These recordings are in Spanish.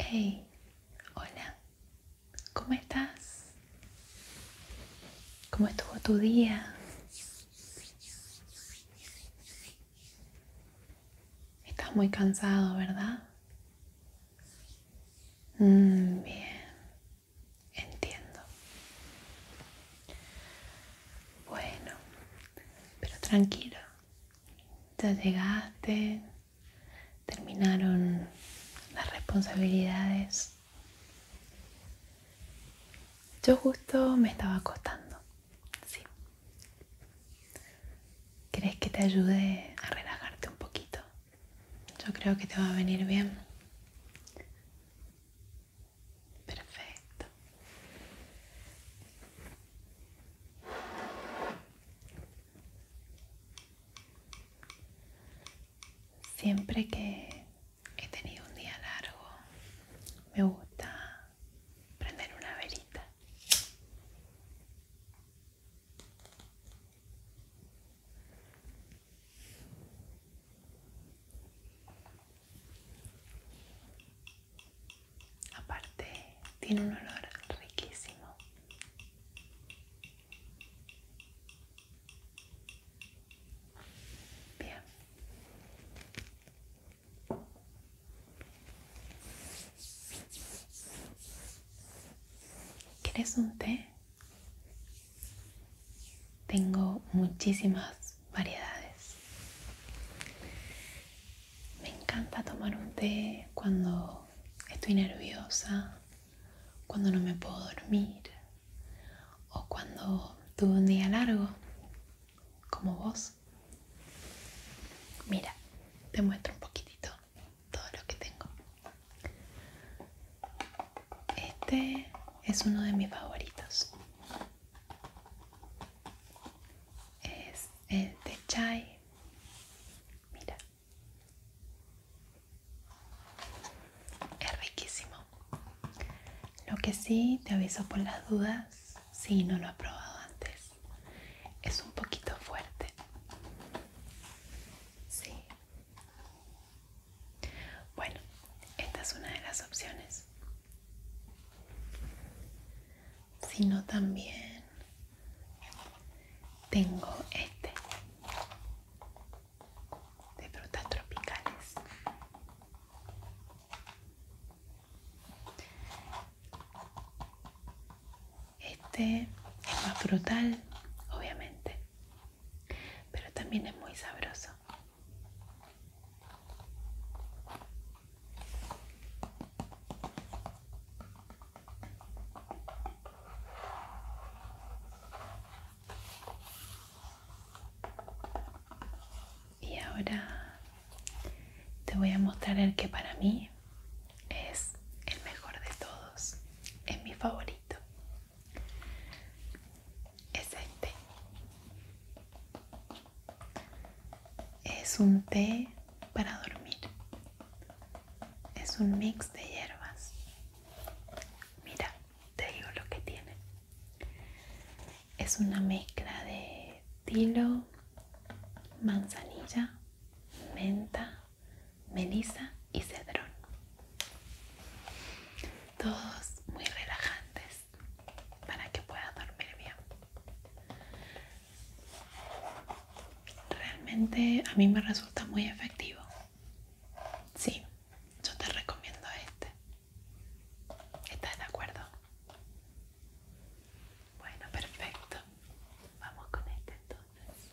Hey, hola, ¿cómo estás? ¿Cómo estuvo tu día? Estás muy cansado, ¿verdad? Mm, bien, entiendo. Bueno, pero tranquilo, ya llegaste, terminaron las responsabilidades. Yo justo me estaba acostando, sí. ¿Crees que te ayude a relajarte un poquito? Yo creo que te va a venir bien. Perfecto. Siempre que he tenido un día largo, me gusta prender una verita. Aparte, tiene un olor riquísimo. Bien. ¿Quieres un té? Tengo muchísimas variedades. Me encanta tomar un té cuando estoy nerviosa, cuando no me puedo dormir o cuando tuve un día largo, como vos. Mira, te muestro un poquitito todo lo que tengo. Este es uno de mis favoritos es el de chai mira es riquísimo lo que sí te aviso por las dudas si no lo has probado antes es un poquito fuerte sí bueno esta es una de las opciones sino también tengo este de frutas tropicales este es más frutal obviamente pero también es muy sabroso y ahora te voy a mostrar el que para mí es el mejor de todos, es mi favorito. Es este. Es un té para dormir. Es un mix de hierbas. Mira, te digo lo que tiene. Es una mezcla de tilo, manzanilla, menta, melisa y cedrón. Todos muy relajantes para que puedas dormir bien. Realmente a mí me resulta muy efectivo. si yo te recomiendo este. ¿Estás de acuerdo? Bueno, perfecto. Vamos con este entonces.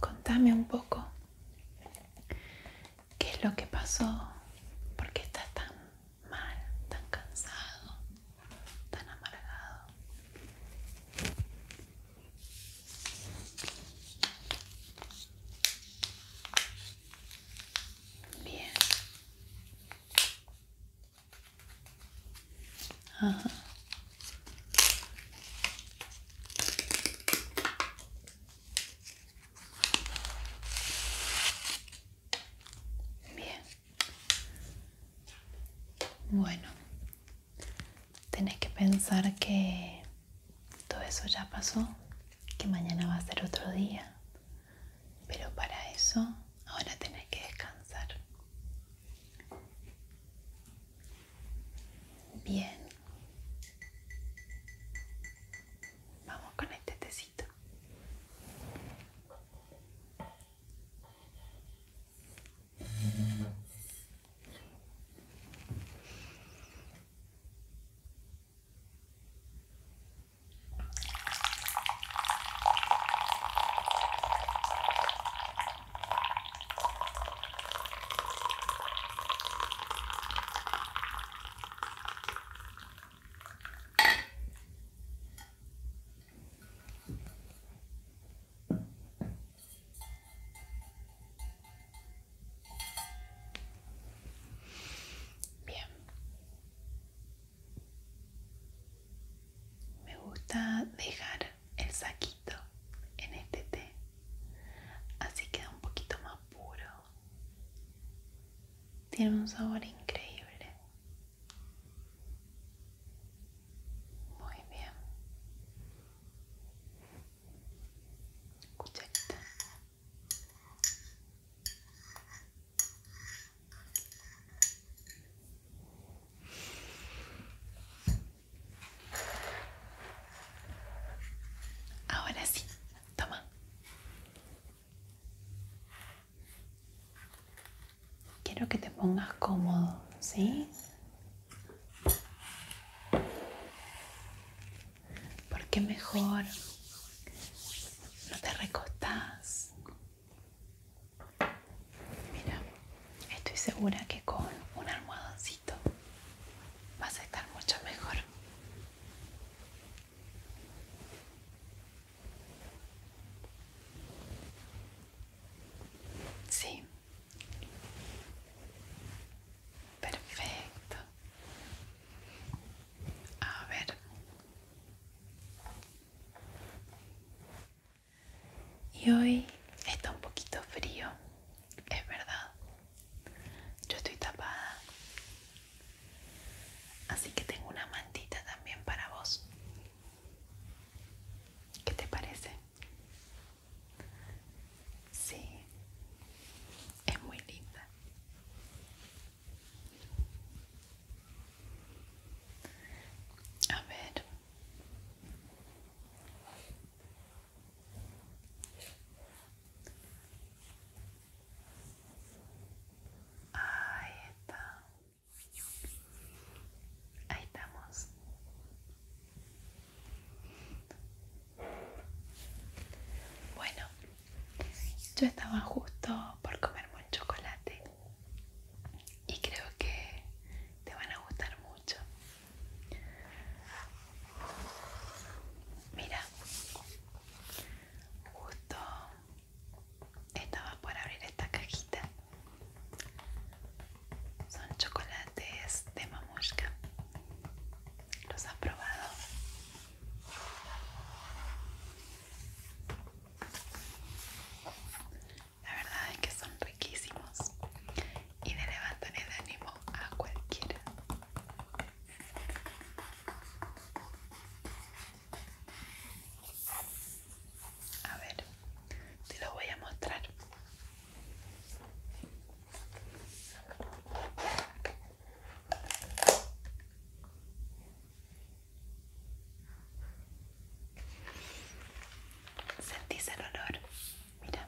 Contame un poco qué es lo que pasó, porque estás tan mal, tan cansado, tan amargado. Bien. Ajá. Bien. Bueno, tenés que pensar que todo eso ya pasó, que mañana va a ser otro día, pero para eso ahora tenés que descansar. Bien. Vamos con este tecito. Bien. Me gusta dejar el saquito en este té así queda un poquito más puro tiene un sabor increíble muy bien cucharita Ahora sí, toma. Quiero que te pongas cómodo, ¿sí? Porque mejor no te recostás Mira, estoy segura que con un almohadoncito va Vas a estar mucho mejor. Sí. Perfecto. A ver. Y hoy está un poquito frío, es verdad. Yo estoy tapada. Así que tengo una mantita también para vos. ¿Qué te parece? Sí, es muy linda. A ver, Ahí está. Ahí estamos. Bueno, yo estaba justo por comerme un chocolate y creo que te van a gustar mucho. Mira, justo estaba por abrir esta cajita. Son chocolates de mamushka. ¿Los has probado? La verdad es que son riquísimos y le levantan el ánimo a cualquiera. A ver, te lo voy a mostrar. ¿Sentís el olor? Mira.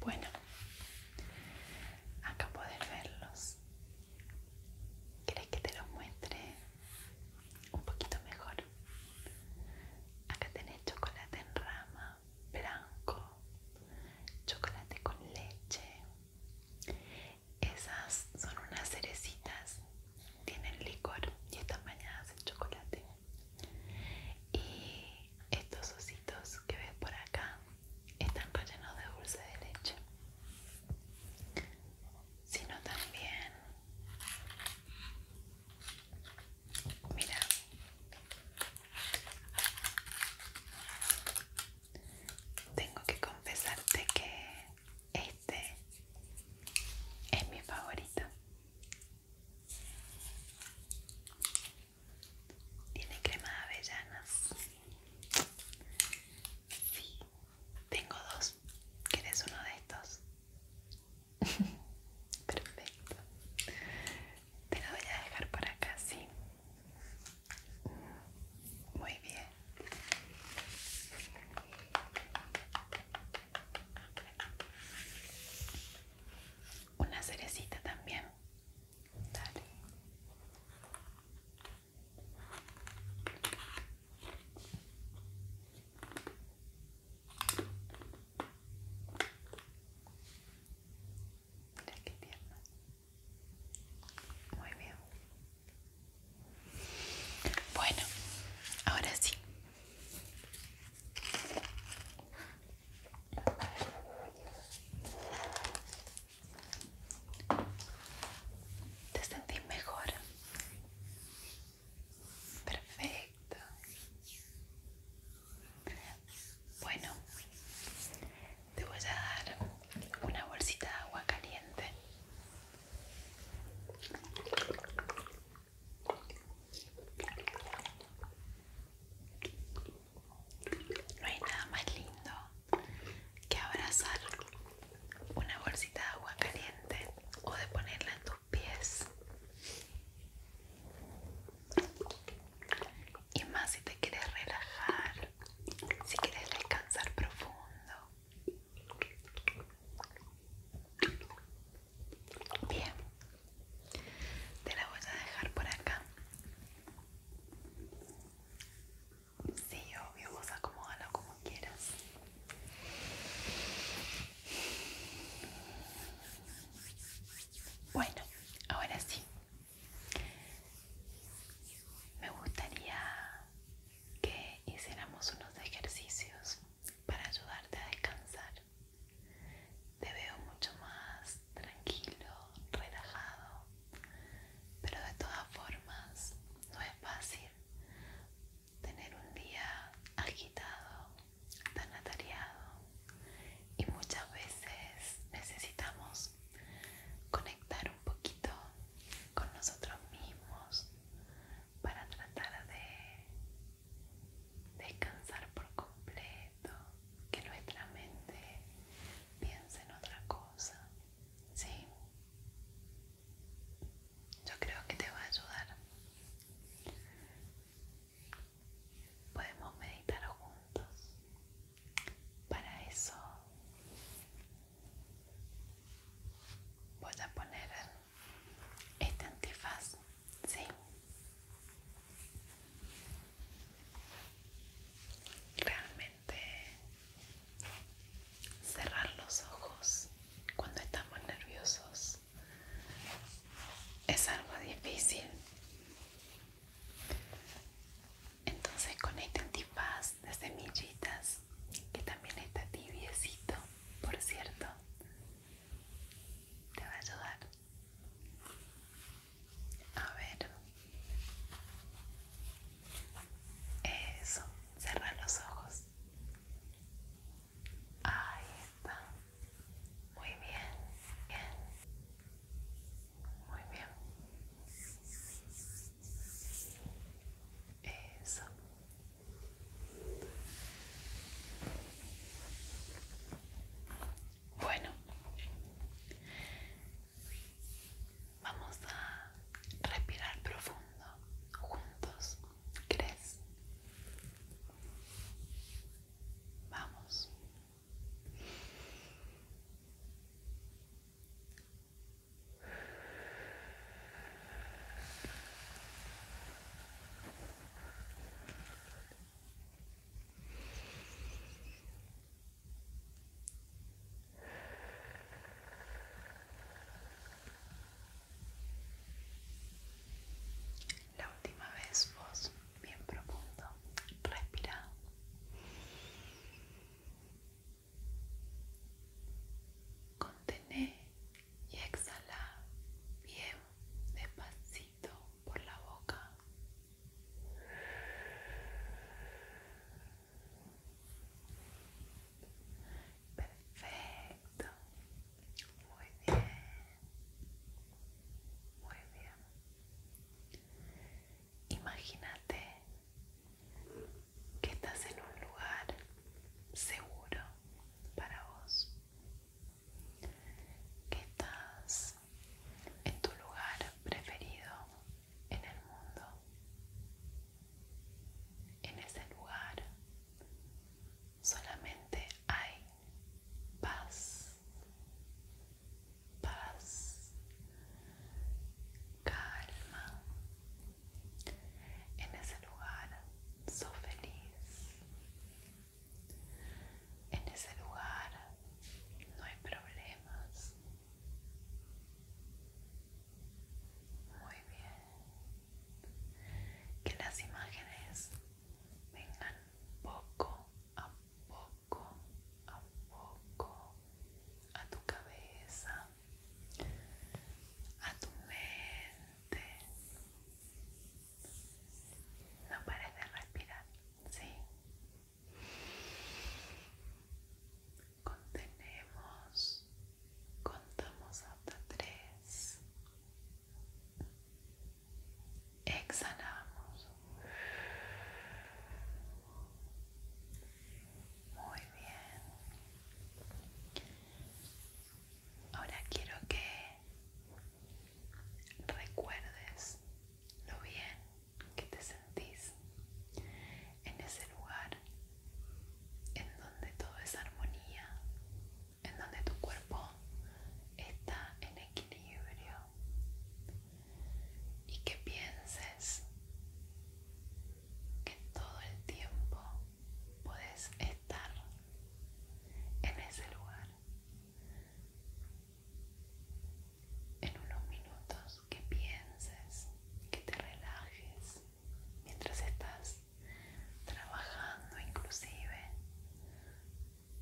Bueno, acá puedes verlos. ¿Crees que te los muestre un poquito mejor? Acá tenés chocolate en rama, blanco, chocolate con leche. Esas son unas cerecitas, tienen licor y están bañadas en chocolate. Y estos ositos que ves por acá están llenos de dulce de leche. Sino también, mira, tengo que confesarte que este es mi favorito. Tiene crema de avellanas. tengo dos. ¿Quieres uno de estos? Perfecto. Te lo voy a dejar por acá, sí. Muy bien. Una cerecita también. Dale. Mira Muy bien. Bueno, ahora sí. ¿Te sentís mejor? Perfecto. Bueno, te voy a dar una bolsita de agua caliente. No hay nada más lindo que abrazar una bolsita de agua caliente o de ponerla en tus pies y más si te quieres relajar, si quieres descansar profundo. Bien, te la voy a dejar por acá. Sí, obvio, vos acomódalo como quieras. Bueno, Ahora sí, me gustaría que hiciéramos unos ejercicios para ayudarte a descansar. Te veo mucho más tranquilo, relajado, pero de todas formas no es fácil tener un día agitado tan atareado y muchas veces necesitamos conectar un poquito con nosotros mismos para tratar de descansar por completo, que nuestra mente piense en otra cosa, ¿sí? Yo creo que te va a ayudar podemos meditar juntos. Para eso voy a poner este antifaz, ¿sí? Realmente cerrar los ojos cuando estamos nerviosos es algo difícil entonces con este antifaz de semillitas, que también está tibiecito, por cierto, te va a ayudar. A ver. Eso, cerrar los ojos. Ahí está. Muy bien, Muy bien. Eso. Bueno, vamos a respirar profundo juntos. ¿Crees? Vamos. La última vez vos bien profundo, respira contén y exhala bien despacito por la boca. Perfecto. Muy bien. Muy bien. Imagínate que estás en un lugar seguro para vos. Que estás en tu lugar preferido en el mundo. En ese lugar solamente hay paz, paz, calma. En ese lugar soy feliz. En ese lugar no hay problemas. Muy bien. Que las imágenes vengan poco a poco poco a poco a tu cabeza, a tu mente. No pares de respirar, ¿sí? Contenemos, contamos hasta tres. Exhalamos. Muy bien. Ahora quiero que recuerdes lo bien que te sentís en ese lugar en donde todo es armonía, en donde tu cuerpo está en equilibrio y que pienses que todo el tiempo puedes estar en ese lugar en unos minutos que pienses que te relajes mientras estás trabajando inclusive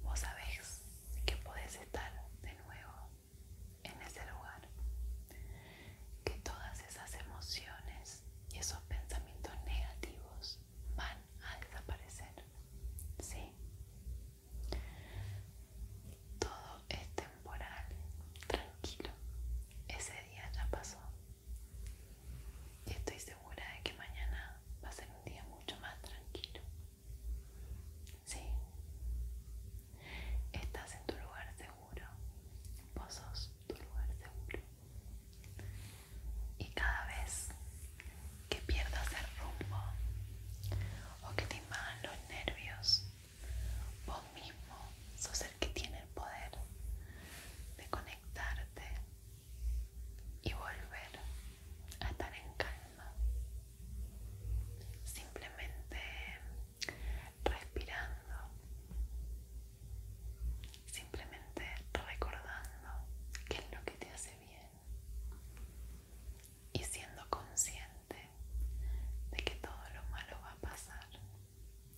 vos sabés que podés estar de nuevo en ese lugar. Que todas esas emociones y esos pensamientos negativos van a desaparecer. ¿Sí? Todo es temporal, tranquilo. Ese día ya pasó. Y estoy segura de que mañana va a ser un día mucho más tranquilo. Sí. Estás en tu lugar seguro. Vos sos tu lugar seguro. Y cada vez que pierdas el rumbo o que te invadan los nervios, vos mismo sos el que tiene el poder de conectarte y volver a estar en calma, simplemente respirando, simplemente recordando qué es lo que te hace bien y siendo consciente de que todo lo malo va a pasar,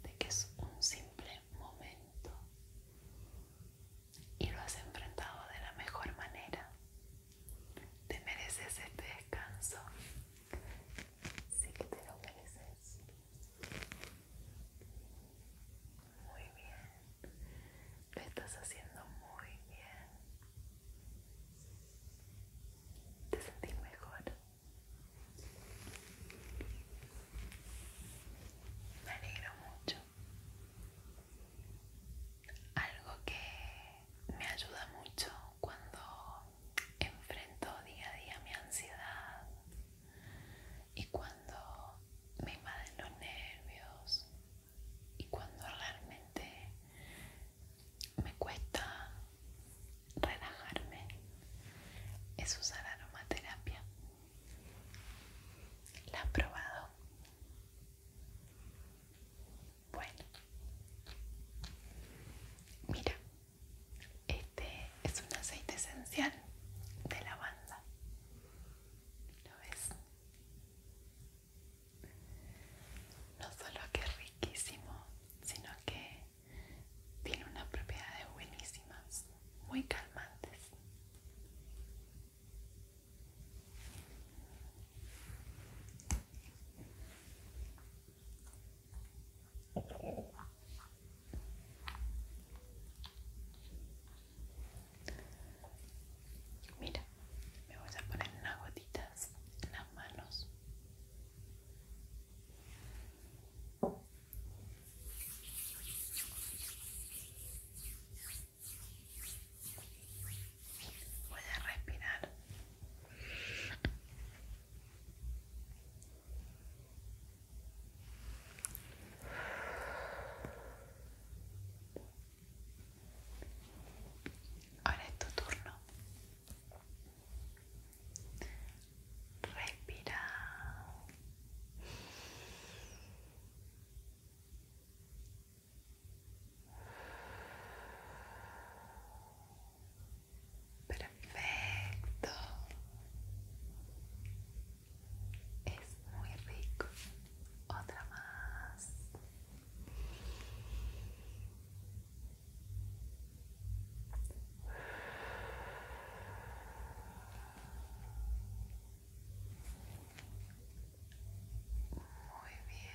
de que es un simple momento y lo has enfrentado de la mejor manera. Te mereces este descanso. Sí que te lo mereces. Muy bien. Lo estás haciendo muy bien. ¿Te sentís mejor? Me alegro mucho. Algo que me ayuda mucho cuando enfrento día a día mi ansiedad y cuando me invaden los nervios y cuando realmente me cuesta relajarme es usar aromaterapia. ¿La has probado? Bueno, mira, este es un aceite esencial de lavanda. ¿Lo ves? No solo que es riquísimo, sino que tiene unas propiedades buenísimas, muy calmantes. Mira, me voy a poner unas gotitas en las manos voy a respirar ahora es tu turno respira Perfecto. Es muy rico. Otra más. Muy bien.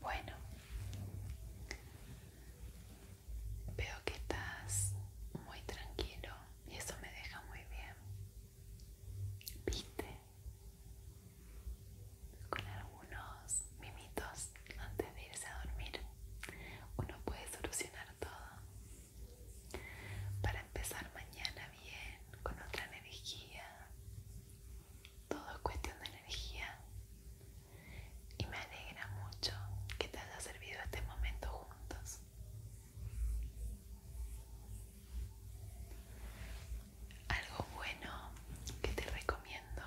Bueno, Veo que estás muy tranquilo y eso me deja muy bien. Viste con algunos mimitos antes de irse a dormir. Uno puede solucionar todo. Para empezar mañana bien, con otra energía todo es cuestión de energía y me alegra mucho que te haya servido este momento juntos. Algo bueno que te recomiendo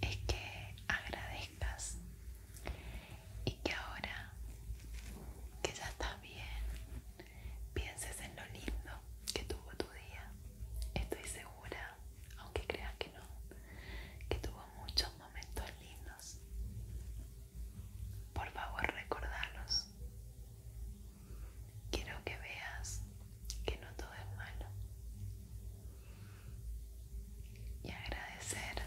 es que agradezcas y que ahora que ya estás bien, pienses en lo lindo que tuvo tu día. Estoy seguro aunque creas que no, que tuvo muchos momentos lindos. Por favor, recordarlos. Quiero que veas que no todo es malo. Y agradecer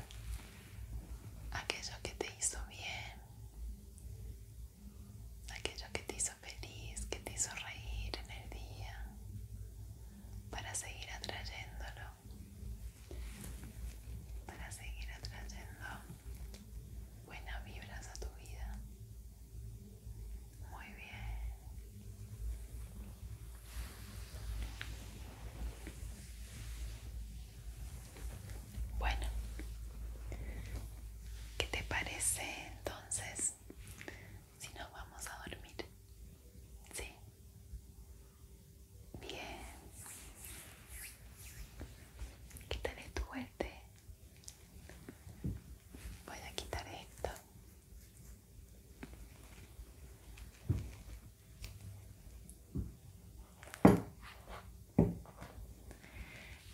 aquello que te hizo bien, aquello que te hizo feliz que te hizo reír en el día para seguir atrayéndolo, para seguir atrayendo buenas vibras a tu vida. Muy bien. Bueno, ¿qué te parece entonces si nos vamos a dormir. ¿Sí? Bien. Quitaré tal tu Voy a quitar esto.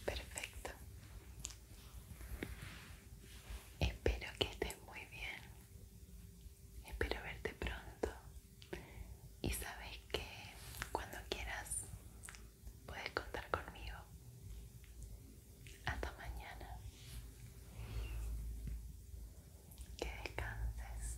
Perfecto. Espero que estés muy bien. Espero verte pronto. Y sabes que cuando quieras puedes contar conmigo. Hasta mañana. Que descanses.